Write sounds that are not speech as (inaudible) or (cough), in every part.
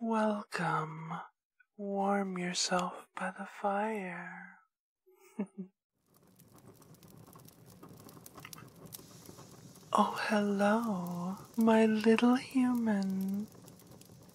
Welcome. Warm yourself by the fire. (laughs) oh, hello, my little human.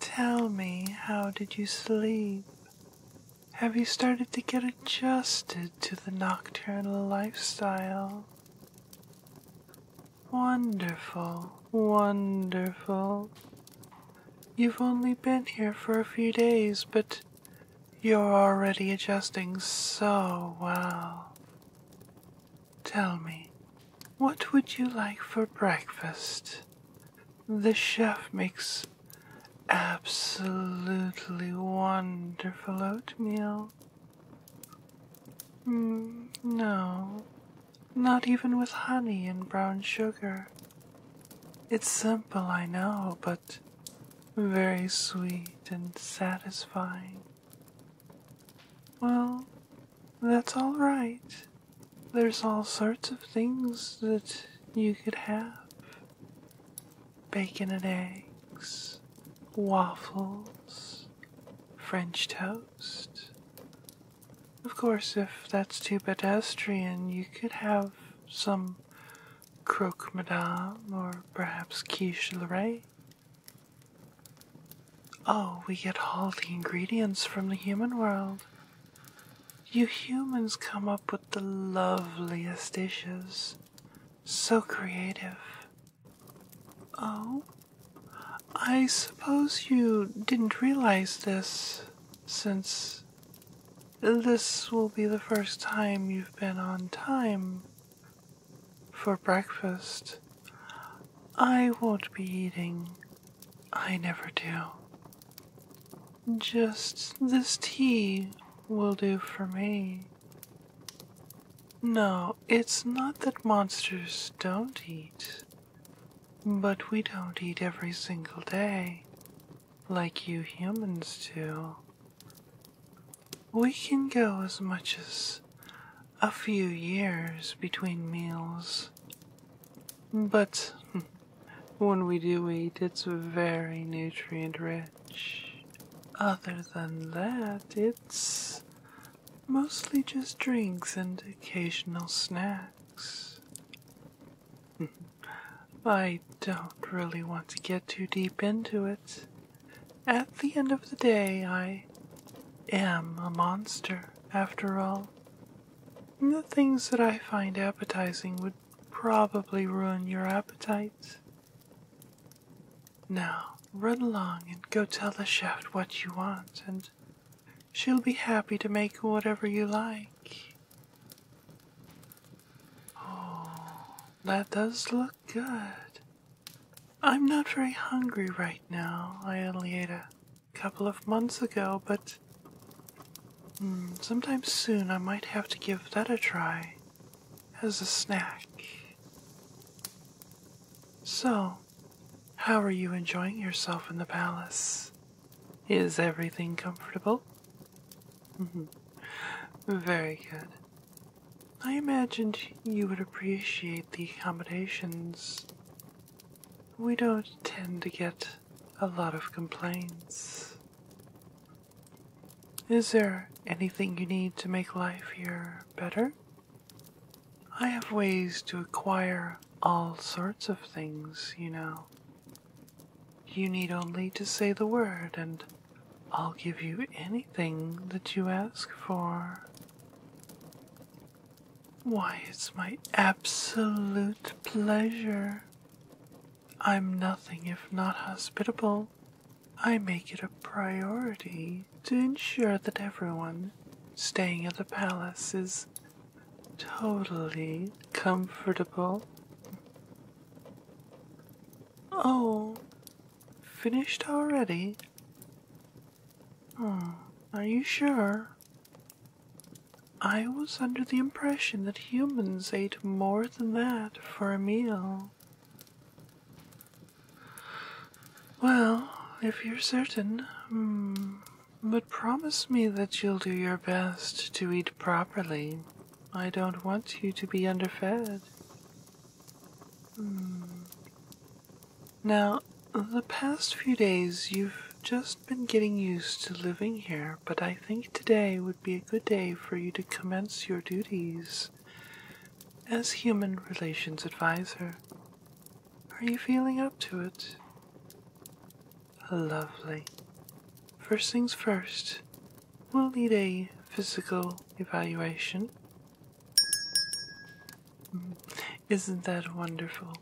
Tell me, how did you sleep? Have you started to get adjusted to the nocturnal lifestyle? Wonderful, wonderful. You've only been here for a few days, but you're already adjusting so well. Tell me, what would you like for breakfast? The chef makes absolutely wonderful oatmeal. Mm, no, not even with honey and brown sugar. It's simple, I know, but very sweet and satisfying. Well, that's all right. There's all sorts of things that you could have bacon and eggs, waffles, French toast. Of course, if that's too pedestrian, you could have some croque madame or perhaps quiche Lorraine. Oh, we get all the ingredients from the human world. You humans come up with the loveliest dishes. So creative. Oh, I suppose you didn't realize this since this will be the first time you've been on time for breakfast. I won't be eating. I never do. Just this tea will do for me. No, it's not that monsters don't eat. But we don't eat every single day, like you humans do. We can go as much as a few years between meals. But (laughs) when we do eat, it's very nutrient rich. Other than that, it's mostly just drinks and occasional snacks. (laughs) I don't really want to get too deep into it. At the end of the day, I am a monster, after all. the things that I find appetizing would probably ruin your appetites. Now, run along and go tell the chef what you want, and She'll be happy to make whatever you like. Oh, that does look good. I'm not very hungry right now. I only ate a couple of months ago, but mm, sometime soon I might have to give that a try as a snack. So, how are you enjoying yourself in the palace? Is everything comfortable? (laughs) Very good. I imagined you would appreciate the accommodations. We don't tend to get a lot of complaints. Is there anything you need to make life here better? I have ways to acquire all sorts of things, you know. You need only to say the word, and I'll give you anything that you ask for. Why, it's my absolute pleasure. I'm nothing if not hospitable. I make it a priority to ensure that everyone staying at the palace is totally comfortable. Oh, finished already? Oh, are you sure? I was under the impression that humans ate more than that for a meal. Well, if you're certain, hmm, but promise me that you'll do your best to eat properly. I don't want you to be underfed. Hmm. Now, the past few days you've just been getting used to living here, but I think today would be a good day for you to commence your duties as Human Relations advise Advisor. Are you feeling up to it? Lovely. First things first, we'll need a physical evaluation. Mm, isn't that wonderful?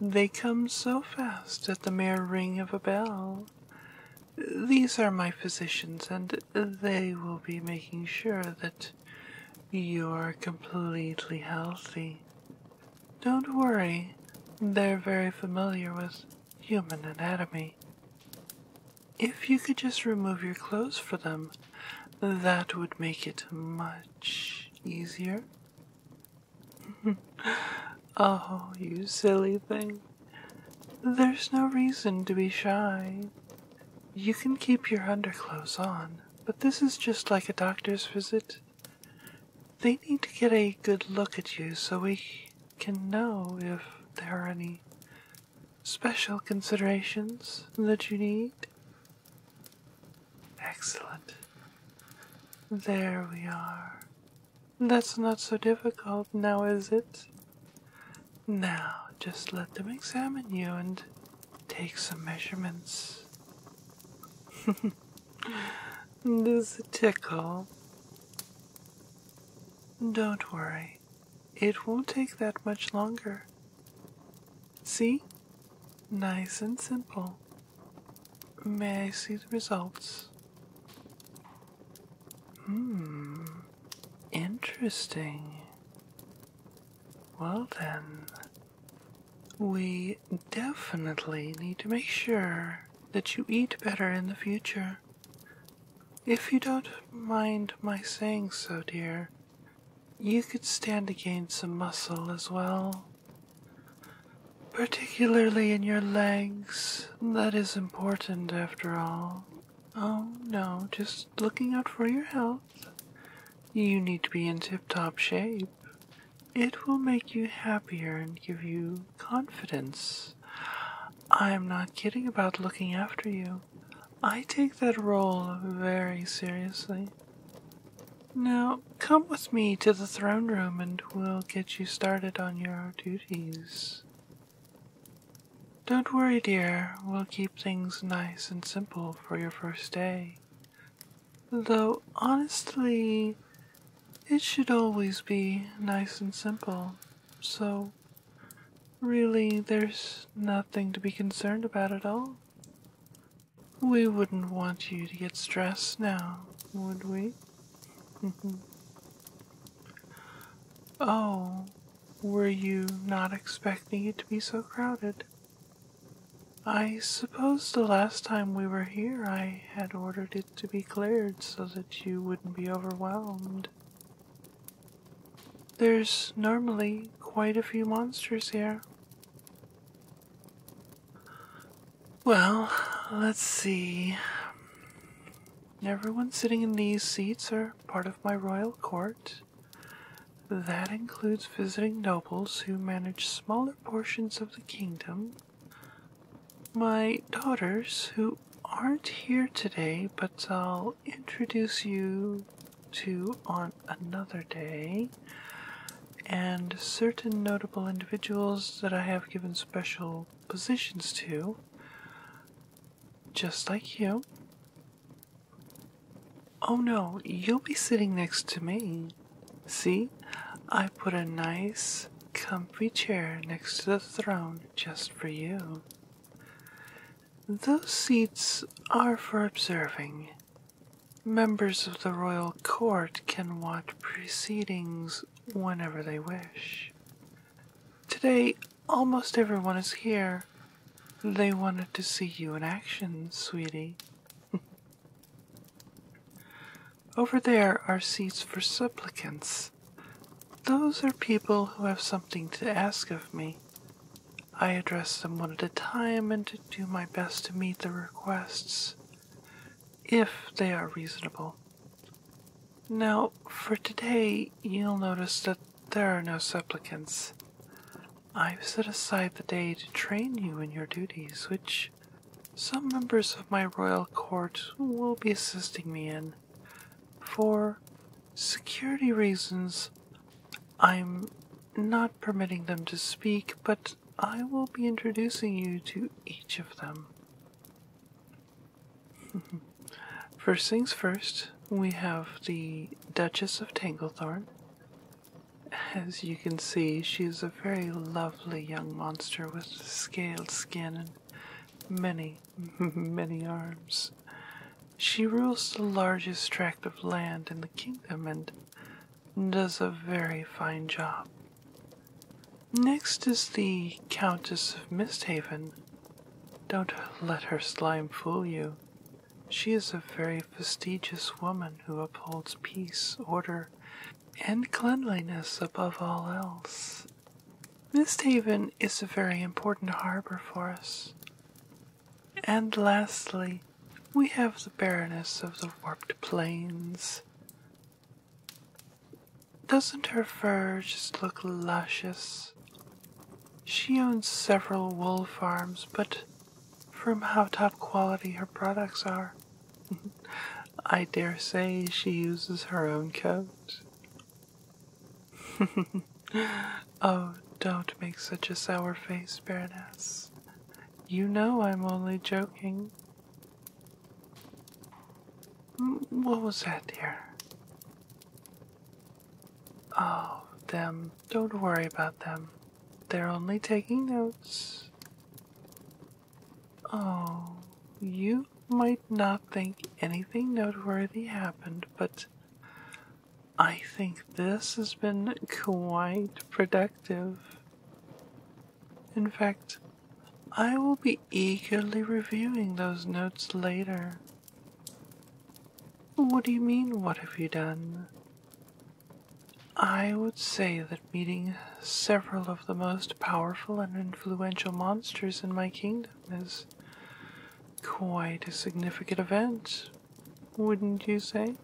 They come so fast at the mere ring of a bell. These are my physicians, and they will be making sure that you're completely healthy. Don't worry, they're very familiar with human anatomy. If you could just remove your clothes for them, that would make it much easier. (laughs) oh, you silly thing. There's no reason to be shy. You can keep your underclothes on. But this is just like a doctor's visit. They need to get a good look at you so we can know if there are any special considerations that you need. Excellent. There we are. That's not so difficult now, is it? Now, just let them examine you and take some measurements. Does (laughs) a tickle? Don't worry, it won't take that much longer. See? Nice and simple. May I see the results? Hmm, interesting. Well then, we definitely need to make sure that you eat better in the future. If you don't mind my saying so, dear, you could stand to gain some muscle as well. Particularly in your legs. That is important after all. Oh no, just looking out for your health. You need to be in tip top shape. It will make you happier and give you confidence. I'm not kidding about looking after you. I take that role very seriously. Now, come with me to the throne room and we'll get you started on your duties. Don't worry, dear, we'll keep things nice and simple for your first day. Though honestly, it should always be nice and simple, so really there's nothing to be concerned about at all. We wouldn't want you to get stressed now, would we? (laughs) oh, were you not expecting it to be so crowded? I suppose the last time we were here I had ordered it to be cleared so that you wouldn't be overwhelmed. There's normally quite a few monsters here. Well, let's see. Everyone sitting in these seats are part of my royal court, that includes visiting nobles who manage smaller portions of the kingdom. My daughters, who aren't here today, but I'll introduce you to on another day, and certain notable individuals that I have given special positions to, just like you. Oh no, you'll be sitting next to me. See, I put a nice, comfy chair next to the throne just for you. Those seats are for observing. Members of the royal court can watch proceedings whenever they wish. Today, almost everyone is here. They wanted to see you in action, sweetie. (laughs) Over there are seats for supplicants. Those are people who have something to ask of me. I address them one at a time and do my best to meet the requests, if they are reasonable. Now, for today, you'll notice that there are no supplicants. I've set aside the day to train you in your duties, which some members of my royal court will be assisting me in. For security reasons, I'm not permitting them to speak, but I will be introducing you to each of them. (laughs) first things first, we have the Duchess of Tanglethorn, as you can see, she is a very lovely young monster with scaled skin and many, (laughs) many arms. She rules the largest tract of land in the kingdom and does a very fine job. Next is the Countess of Misthaven. Don't let her slime fool you. She is a very fastidious woman who upholds peace, order, and cleanliness above all else. Mist Haven is a very important harbor for us. And lastly, we have the Baroness of the Warped Plains. Doesn't her fur just look luscious? She owns several wool farms, but from how top quality her products are. (laughs) I dare say she uses her own coat. (laughs) oh, don't make such a sour face, Baroness. You know I'm only joking. Mm, what was that, dear? Oh, them don't worry about them. They're only taking notes. Oh, you might not think anything noteworthy happened, but I think this has been quite productive. In fact, I will be eagerly reviewing those notes later. What do you mean, what have you done? I would say that meeting several of the most powerful and influential monsters in my kingdom is quite a significant event, wouldn't you say?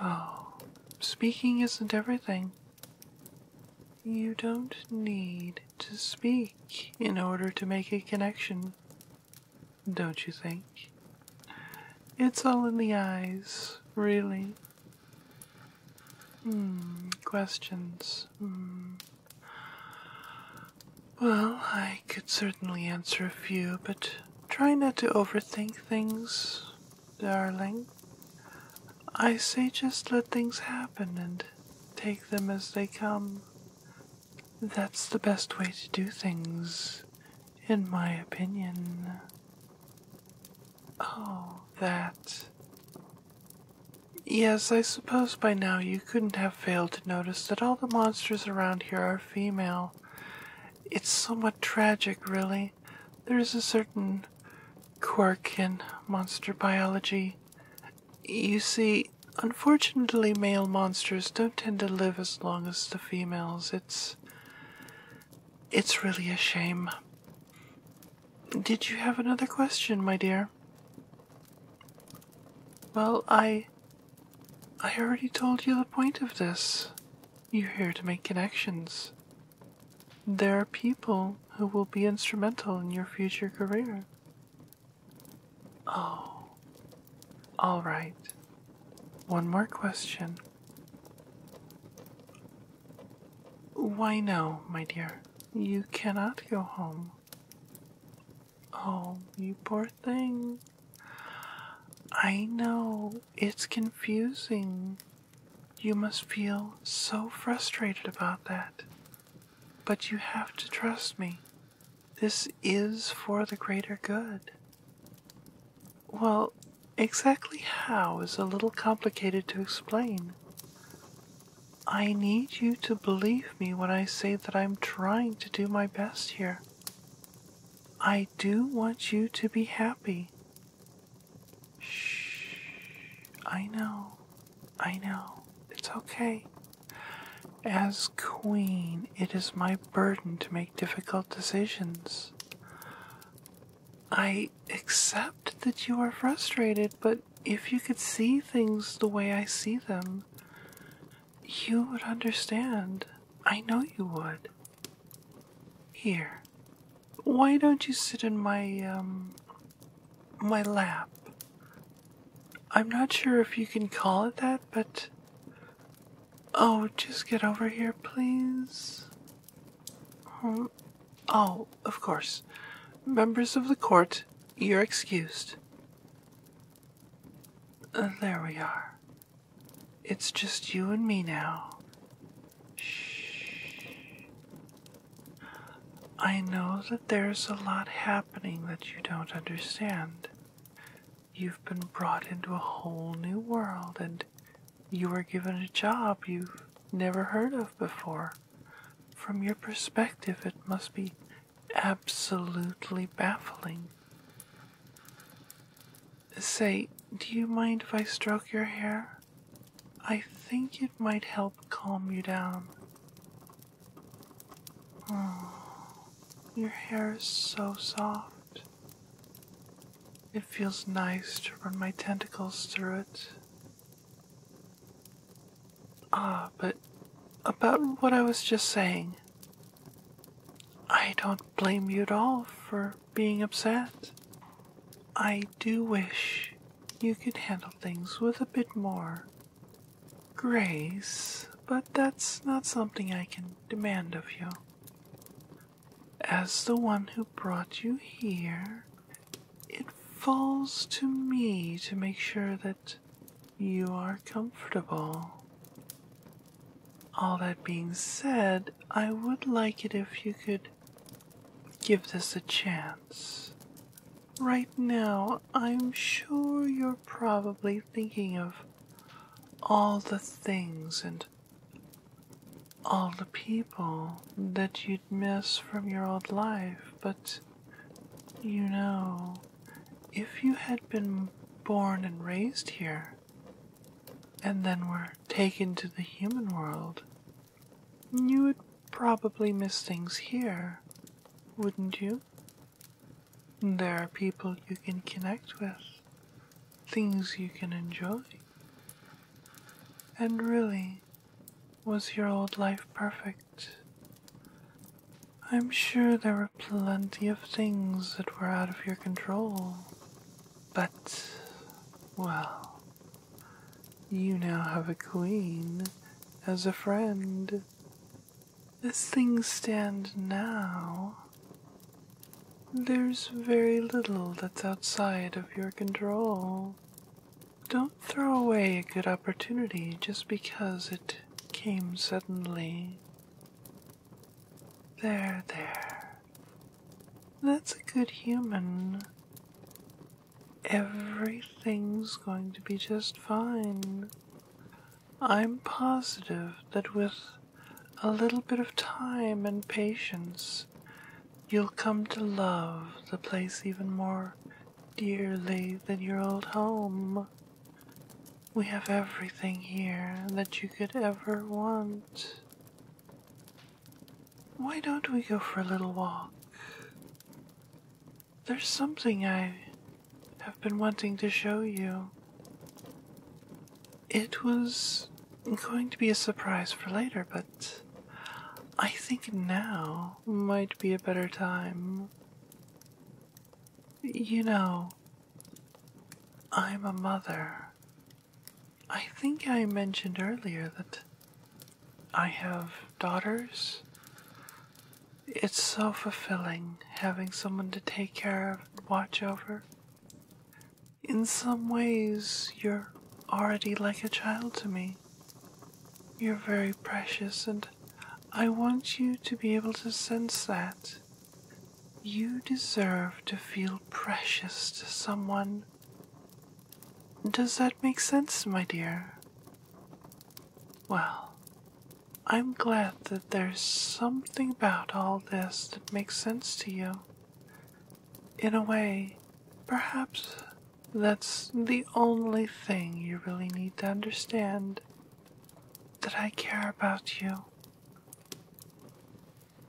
Oh, speaking isn't everything. You don't need to speak in order to make a connection don't you think? It's all in the eyes, really. Hmm, questions. Hmm. Well, I could certainly answer a few, but try not to overthink things, darling. I say just let things happen and take them as they come. That's the best way to do things, in my opinion. Oh, that. Yes, I suppose by now you couldn't have failed to notice that all the monsters around here are female. It's somewhat tragic, really. There is a certain quirk in monster biology. You see, unfortunately, male monsters don't tend to live as long as the females. It's. It's really a shame. Did you have another question, my dear? Well, I. I already told you the point of this. You're here to make connections. There are people who will be instrumental in your future career. Oh, all right. One more question. Why, no, my dear, you cannot go home. Oh, you poor thing. I know, it's confusing. You must feel so frustrated about that. But you have to trust me. This is for the greater good. Well, exactly how is a little complicated to explain. I need you to believe me when I say that I'm trying to do my best here. I do want you to be happy. Shh. I know. I know. It's okay. As queen, it is my burden to make difficult decisions. I accept that you are frustrated, but if you could see things the way I see them, you would understand. I know you would. Here. Why don't you sit in my um my lap? I'm not sure if you can call it that, but Oh, just get over here, please. oh, of course. Members of the court, you're excused. Uh, there we are. It's just you and me now. Shh. I know that there's a lot happening that you don't understand. You've been brought into a whole new world and you were given a job you've never heard of before. From your perspective, it must be absolutely baffling. Say, do you mind if I stroke your hair? I think it might help calm you down. Oh, your hair is so soft. It feels nice to run my tentacles through it. Ah, but about what I was just saying. I don't blame you at all for being upset. I do wish you could handle things with a bit more grace, but that's not something I can demand of you. As the one who brought you here, it falls to me to make sure that you are comfortable. All that being said, I would like it if you could give this a chance. Right now, I'm sure you're probably thinking of all the things and all the people that you'd miss from your old life, but you know, if you had been born and raised here, and then were taken to the human world, you would probably miss things here, wouldn't you? There are people you can connect with, things you can enjoy. And really, was your old life perfect? I'm sure there were plenty of things that were out of your control, but, well, you now have a queen as a friend as things stand now, there's very little that's outside of your control. Don't throw away a good opportunity just because it came suddenly. There, there. That's a good human. Everything's going to be just fine. I'm positive that with a little bit of time and patience, you'll come to love the place even more dearly than your old home. We have everything here that you could ever want. Why don't we go for a little walk? There's something I have been wanting to show you. It was going to be a surprise for later, but I think now might be a better time. You know, I'm a mother. I think I mentioned earlier that I have daughters it's so fulfilling having someone to take care of and watch over. In some ways, you're already like a child to me. You're very precious, and I want you to be able to sense that. You deserve to feel precious to someone. Does that make sense, my dear? Well, I'm glad that there's something about all this that makes sense to you. In a way, perhaps that's the only thing you really need to understand that I care about you.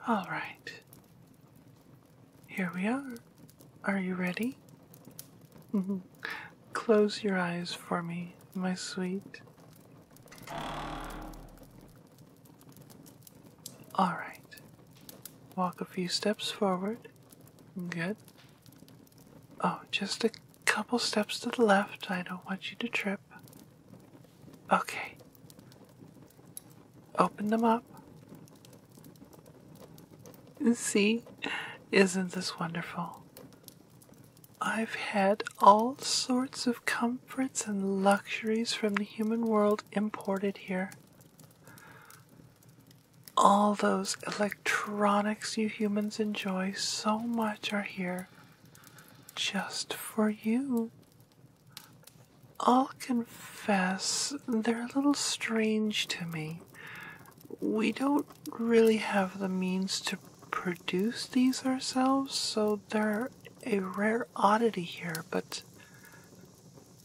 All right. Here we are. Are you ready? (laughs) Close your eyes for me, my sweet. Alright. Walk a few steps forward. Good. Oh, just a couple steps to the left. I don't want you to trip. Okay. Open them up. See? Isn't this wonderful? I've had all sorts of comforts and luxuries from the human world imported here. All those electronics you humans enjoy so much are here just for you. I'll confess, they're a little strange to me. We don't really have the means to produce these ourselves, so they're a rare oddity here, but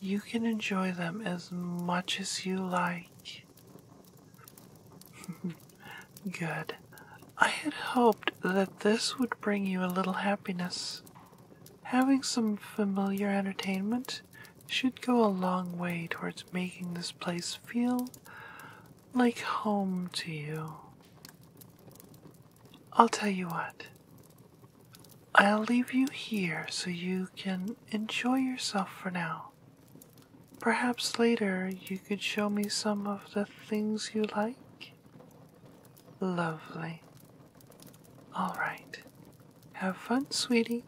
you can enjoy them as much as you like. (laughs) Good. I had hoped that this would bring you a little happiness. Having some familiar entertainment should go a long way towards making this place feel like home to you. I'll tell you what. I'll leave you here so you can enjoy yourself for now. Perhaps later you could show me some of the things you like. Lovely. All right. Have fun, sweetie.